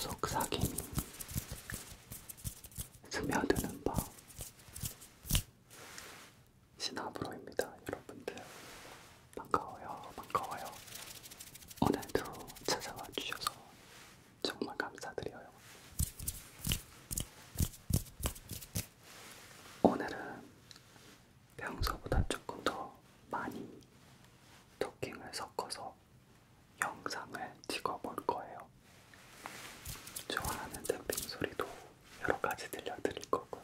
속삭임이 스며드는 밤 신하브로입니다 여러분들 반가워요 반가워요 오늘도 찾아와 주셔서 정말 감사드려요 오늘은 평소보다 조금 더 많이 토킹을 섞어서 영상을 찍어볼 거예요. 좋아하는 댐핑 소리도 여러 가지 들려드릴 거고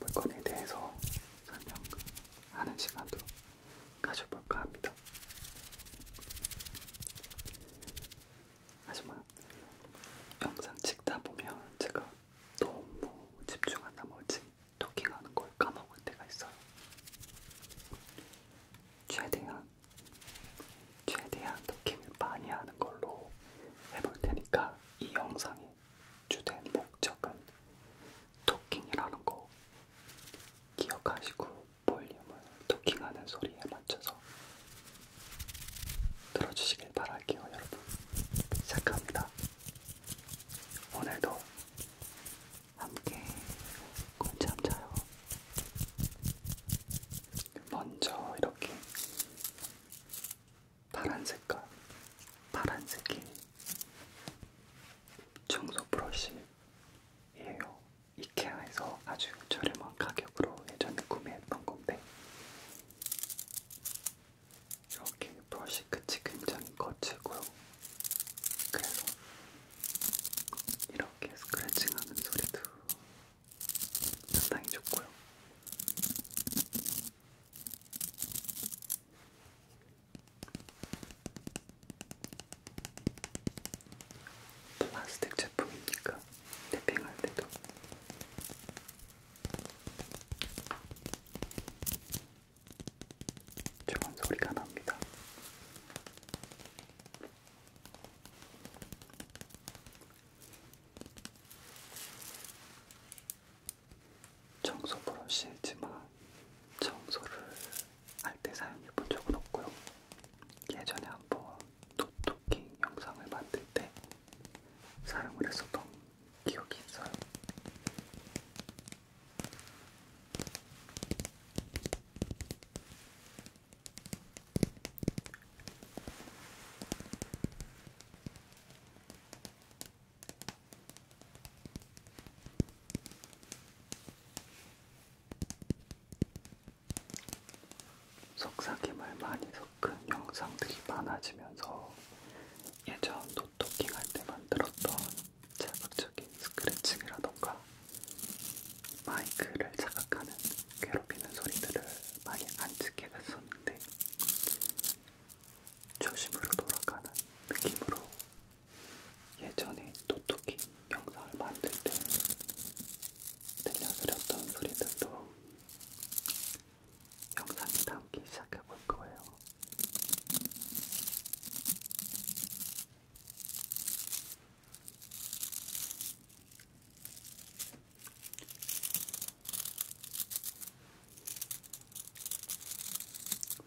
물건에 대해서 설명하는 시간도 가져볼까 합니다. 하지만 영상 찍다 보면 제가 너무 집중한 나머지 토킹하는 걸 까먹을 때가 있어요. 최대한 최대한 토킹을 많이 하는 걸로 해볼 테니까 이 영상의 주된 목적은 토킹이라는 거 기억하시고 볼륨을 토킹하는 소리에 맞춰서 들어주시길 바랄게요 여러분 시작합니다 오늘도 함께 꿀잠 자요. 먼저 이렇게 파란 색깔, 파란색이 청소 브러쉬예요. 이케아에서 아주 저렴한 가격으로 예전에 구매했던 건데 이렇게 브러쉬 끝이 굉장히 거칠고요. 그래서 이렇게 스크래칭하는 소리도 상당히 좋고요. 플라스틱 제품이니까 탭핑할 때도 좋은 소리가 납니다. 청소 브러쉬지만 청소를 할 때 사용해 본 적은 없고요. 예전에 한번 노토킹 영상을 만들 때 사용을 했었던 기억이 있어요. 속삭임을 많이 섞은 영상들이 많아지면서 예전 노토킹 할 때 만들었던 자극적인 스크래칭이라던가 마이크를 자극하는 괴롭히는 소리들을 많이 안 찍게 됐었는데 초심으로 돌아가는 느낌으로 예전에 노토킹 영상을 만들 때 들려드렸던 소리들도 영상이 담기 시작해 볼 거예요.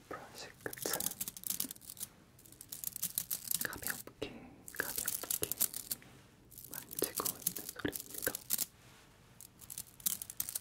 브러쉬 끝을 가볍게 가볍게 만지고 있는 소리입니다.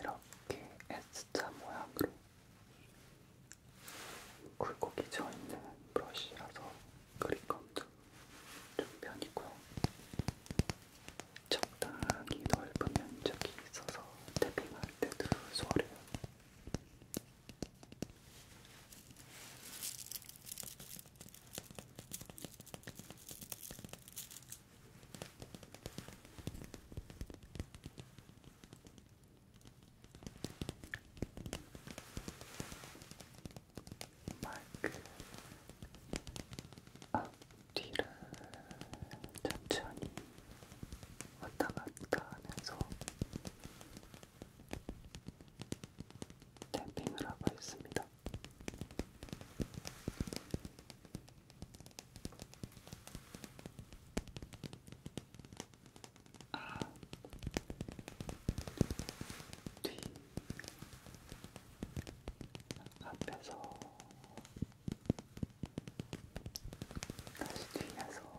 이렇게 S자 모양으로 굴곡이 져 있는 브러쉬라서 그립감도 좀 편이고요. 적당히 넓은 면적이 있어서 태핑할 때도 소홀해요. 마이크 앞뒤를 아, 천천히 왔다 갔다 하면서 탭핑을 하고 있습니다. 아, 뒤 앞에서 다시 뒤에서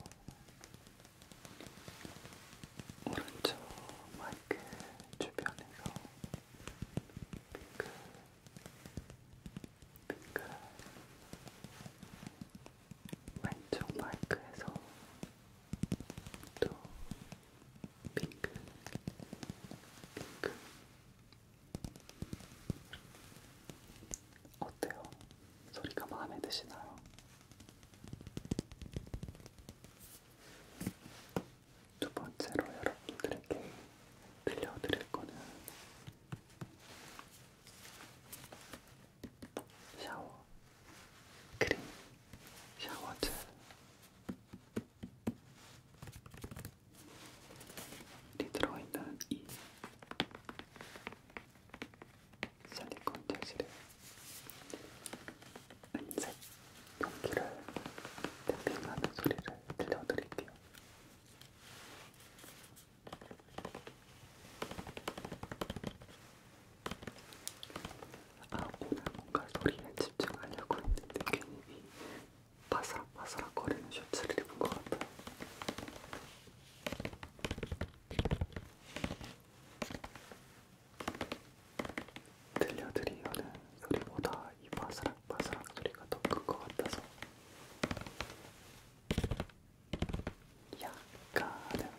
오른쪽 마이크 주변에서 빙글 빙글 왼쪽 마이크에서 또 빙글 빙글 어때요? 소리가 마음에 드시나요? 두 번째로 여러분들에게 들려드릴 거는 샤워 크림 샤워젤 이 들어있는 이 실리콘 재질의 은색 용기를 탭핑하는 소리를 들려드릴게요. 아, 오늘 뭔가 소리에 집중하려고 했는데 괜히 바스락바스락 거리는 셔츠를 입은 것 같아요. 들려드리려는 소리보다 이 바스락바스락 소리가 더 큰 것 같아서 약간은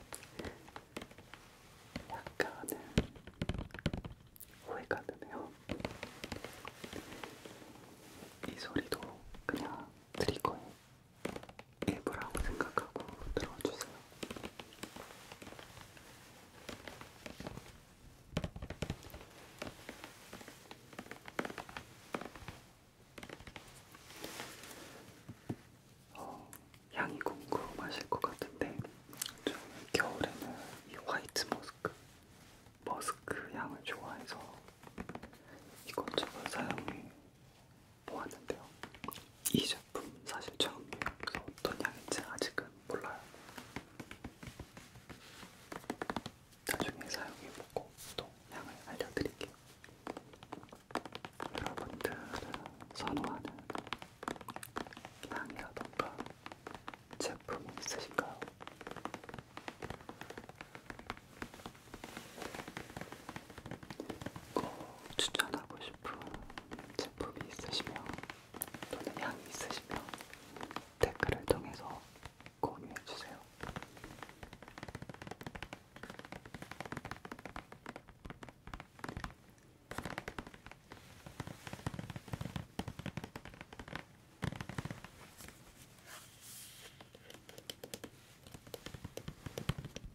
약간은 후회가 드네요. 이 소리도 그냥 트리거에 일부라고 생각하고 들어주세요. 어, 향이 궁금하실 것 같은데 저는 겨울에는 이 화이트 머스크, 머스크 향을 좋아해서 이것저것 사용해 보았는데요. 이 제품 사실 처음이에요. 그래서 어떤 향인지 아직은 몰라요. 나중에 사용해보고 또 향을 알려드릴게요. 여러분들은 선호하는 향이라던가 제품이 있으신가요? 이거 어, 추천하고 싶은 제품이 있으시면 또는 향이 있으시면 댓글을 통해서 공유해주세요.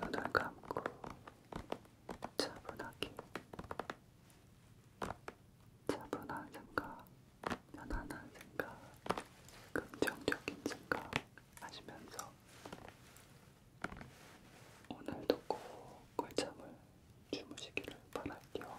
눈을 감고 차분하게 차분한 생각 편안한 생각, 긍정적인 생각 하시면서 오늘도 꼭 꿀잠을 주무시기를 바랄게요.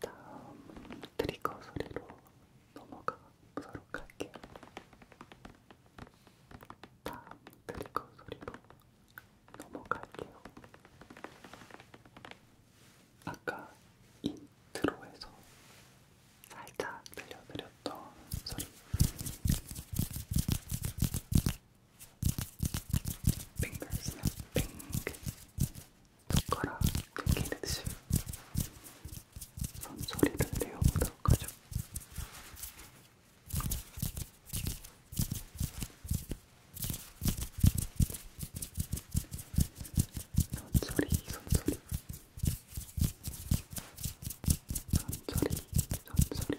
다음 트리거 소리로 넘어가 보도록 할게요. 다음 트리거 소리로 넘어갈게요. 아까 인트로에서 살짝 들려드렸던 소리 핑글 스냅핑 손가락 튕기듯이 손소리를 내어보도록 하죠. 손소리, 손소리. 손소리, 손소리. 손소리,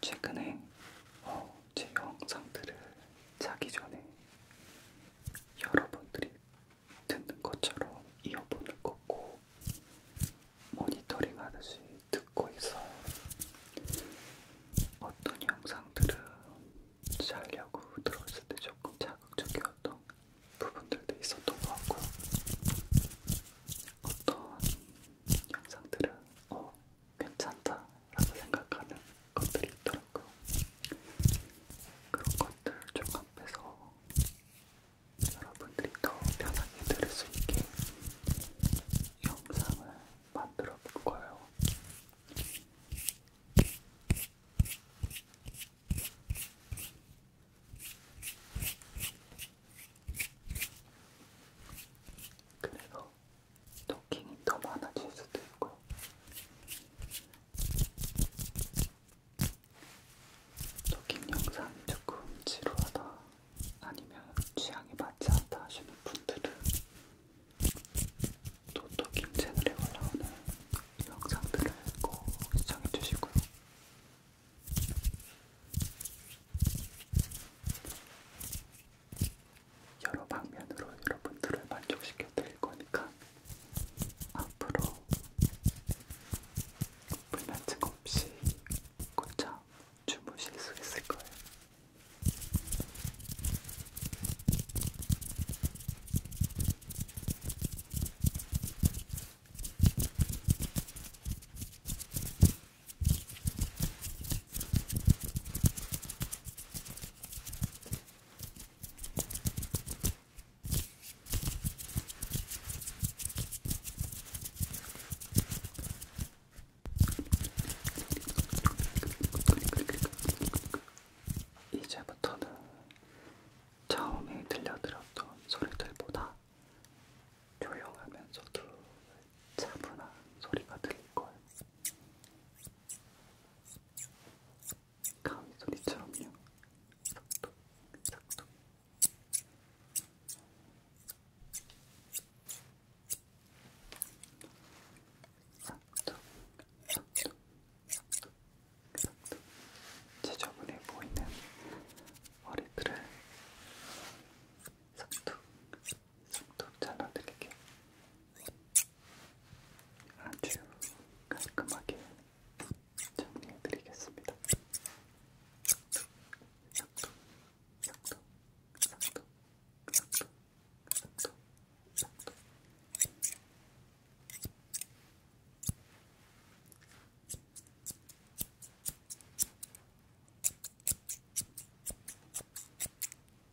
최근에 어, 제 영상들을 자기 전에 여러분들이 듣는 것처럼 이어폰을 꽂고 모니터링 하듯이 듣고 있어요. 어떤 영상들은 자려고 들었을 때 조금 자극적이었던 부분들도 있었던 것 같고 어떤 영상들은 어 괜찮다 라고 생각하는 것들이 있더라고요. 그런 것들 종합해서 여러분들이 더 편하게 들을 수 있게 영상을 만들어 볼 거예요. 그래서 토킹이 더 많아질 수도 있고요. 토킹 영상이 조금 지루하다 아니면 취향이 맞지 않다 하시는 분들은 또 토킹 채널에 올라오는 영상들을 꼭 시청해 주시고요. 여러 방면으로 여러분들을 만족시켜 드릴 거니까 앞으로 불면증 없이 곧장 주무실 수 있을 거예요. 이제부터는 처음에 들려드렸던 소리들보다 조용하면서도 차분한 소리가 들릴 거예요. 가위 소리처럼요. 삭둑, 삭둑. 삭둑, 삭둑, 삭둑, 삭둑. 지저분해 보이는 머리들을 삭둑, 삭둑, 속도도 잘라드릴게요. 아주 깔끔하게 정리해드리겠습니다. 삭도, 삭도, 삭도, 삭도, 삭도, 삭도. 삭도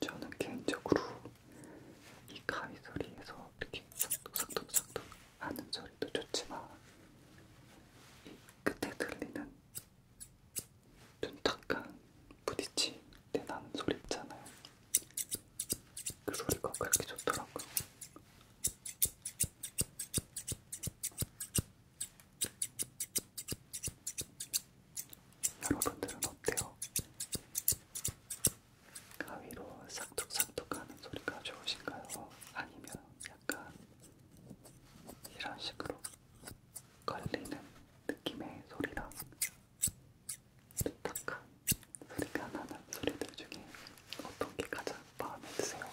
저는 개인적으로 이 가위 소리에서 이렇게 삭둑삭둑삭둑 하는 소리도 좋지만 이 끝에 들리는 눈 탁깐 부딪힐 때 나는 소리 있잖아요. 그 소리가 그렇게 좋더라고요. 여러분들은 어때요? 가위로 싹둑싹둑 하는 소리가 좋으신가요? 아니면 약간 이런 식으로 걸리는 느낌의 소리랑 딱한 소리가 나는 소리들 중에 어떤 게 가장 마음에 드세요?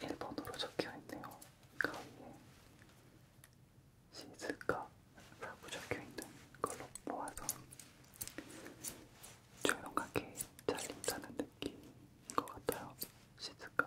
일본어로 적혀있네요. 가위에 시즈카라고 적혀있는 걸로 모아서 조용하게 잘린다는 느낌인 것 같아요. 시즈카.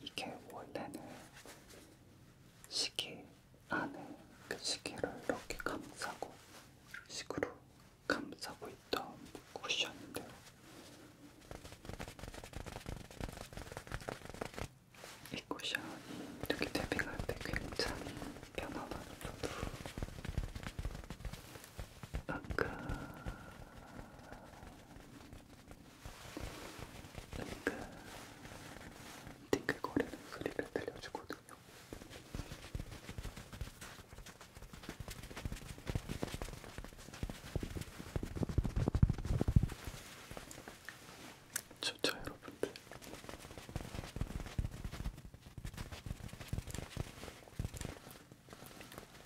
이게 원래는 시계 안에 그 시계를 이렇게 감싸고 식으로 감싸고 있던 쿠션인데요. 이 쿠션이 이렇게 탭핑할 때 굉장히 편안하면서도 뭔가 띵글 그러니까 띵글거리는 소리를 들려주거든요. 좋죠, 여러분들.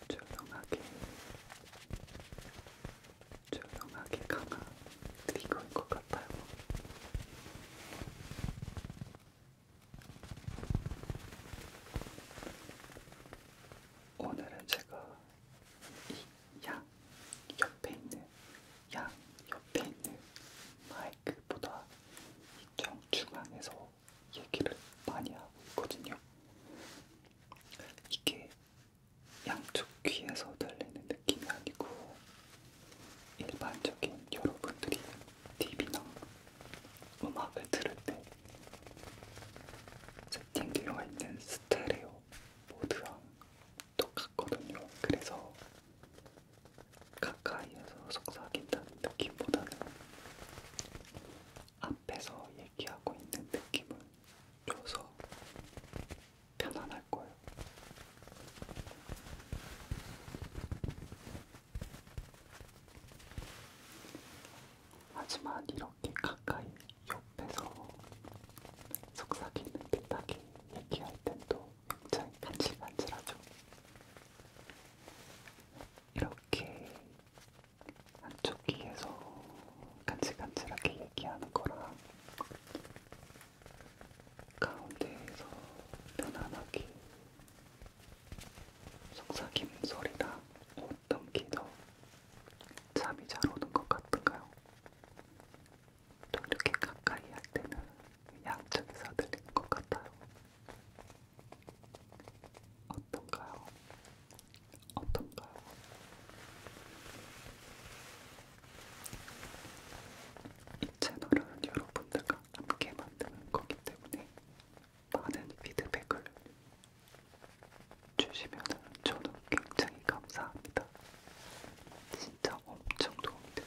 조용하게 조용하게 강한 이거인 것 같아요. 오늘은 제가 이양 옆에 있는 양 옆에 있는 마이크보다 이쪽 중앙에서 얘기를 많이 하고 있거든요. 이게 양쪽 귀에서 들리는 느낌이 아니고 일반적인 여러분들이 TV나 음악을 들을 때 세팅되어 있는 스테레오 모드랑 똑같거든요. 그래서 가까이에서 속삭인다는 느낌보다는 앞에서 얘기하고 있는 느낌을 줘서 편안할 거예요. 하지만 이렇게 가까이 옆에서 속삭이는 듯하게 얘기할 땐또 굉장히 간질간질하죠. 이렇게 한쪽 귀에서 간질간질하게 얘기하는 거랑 가운데에서 편안하게 속삭임 소리랑 어떤 게더 잠이 잘 오는 것 같은가요? 또 이렇게 가까이 할 때는 양쪽에서 들리는 것 같아요. 어떤가요? 어떤가요? 이 채널은 여러분들과 함께 만드는 거기 때문에 많은 피드백을 주시면 저는 굉장히 감사합니다. 진짜 엄청 도움이 돼요.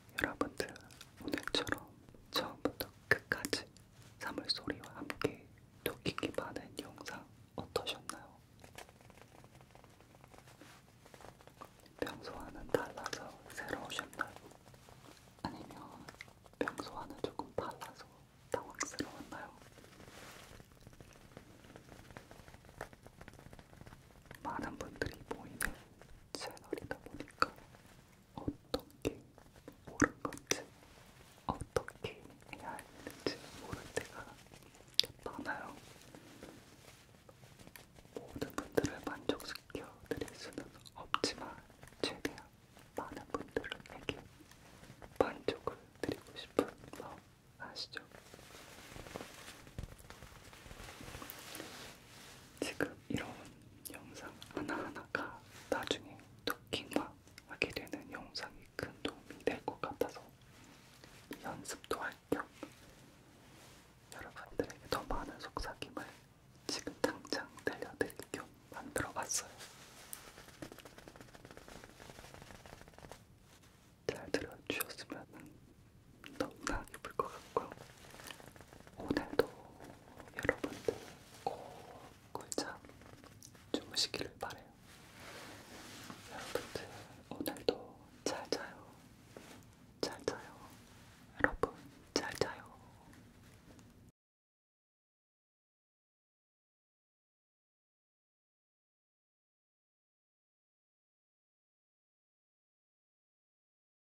여러분들 오늘처럼 처음부터 끝까지 사물소리와 함께 도끼기 많은 영상 어떠셨나요? 평소와는 달라서 새로우셨나요? 아니면 평소와는 조금 달라서 당황스러웠나요? 많은 분들이 모이는 채널이다 보니까 어떻게 모른 건지, 어떻게 해야 했는지 모를 때가 많아요. 모든 분들을 만족시켜 드릴 수는 없지만 최대한 많은 분들에게 만족을 드리고 싶은 마음 아시죠? 지금 이런 영상 하나하나가 나중에 토킹만 하게 되는 영상이 큰 도움이 될 것 같아서 연습도 할 겸 여러분들에게 더 많은 속삭임을 지금 당장 들려드릴 겸 만들어봤어요. 잘 들어주셨으면 너무나 기쁠 것 같고요. 오늘도 여러분들 꿀잠 주무시기를 바래요. 여러분들 오늘도 잘 자요. 잘 자요. 여러분 잘 자요.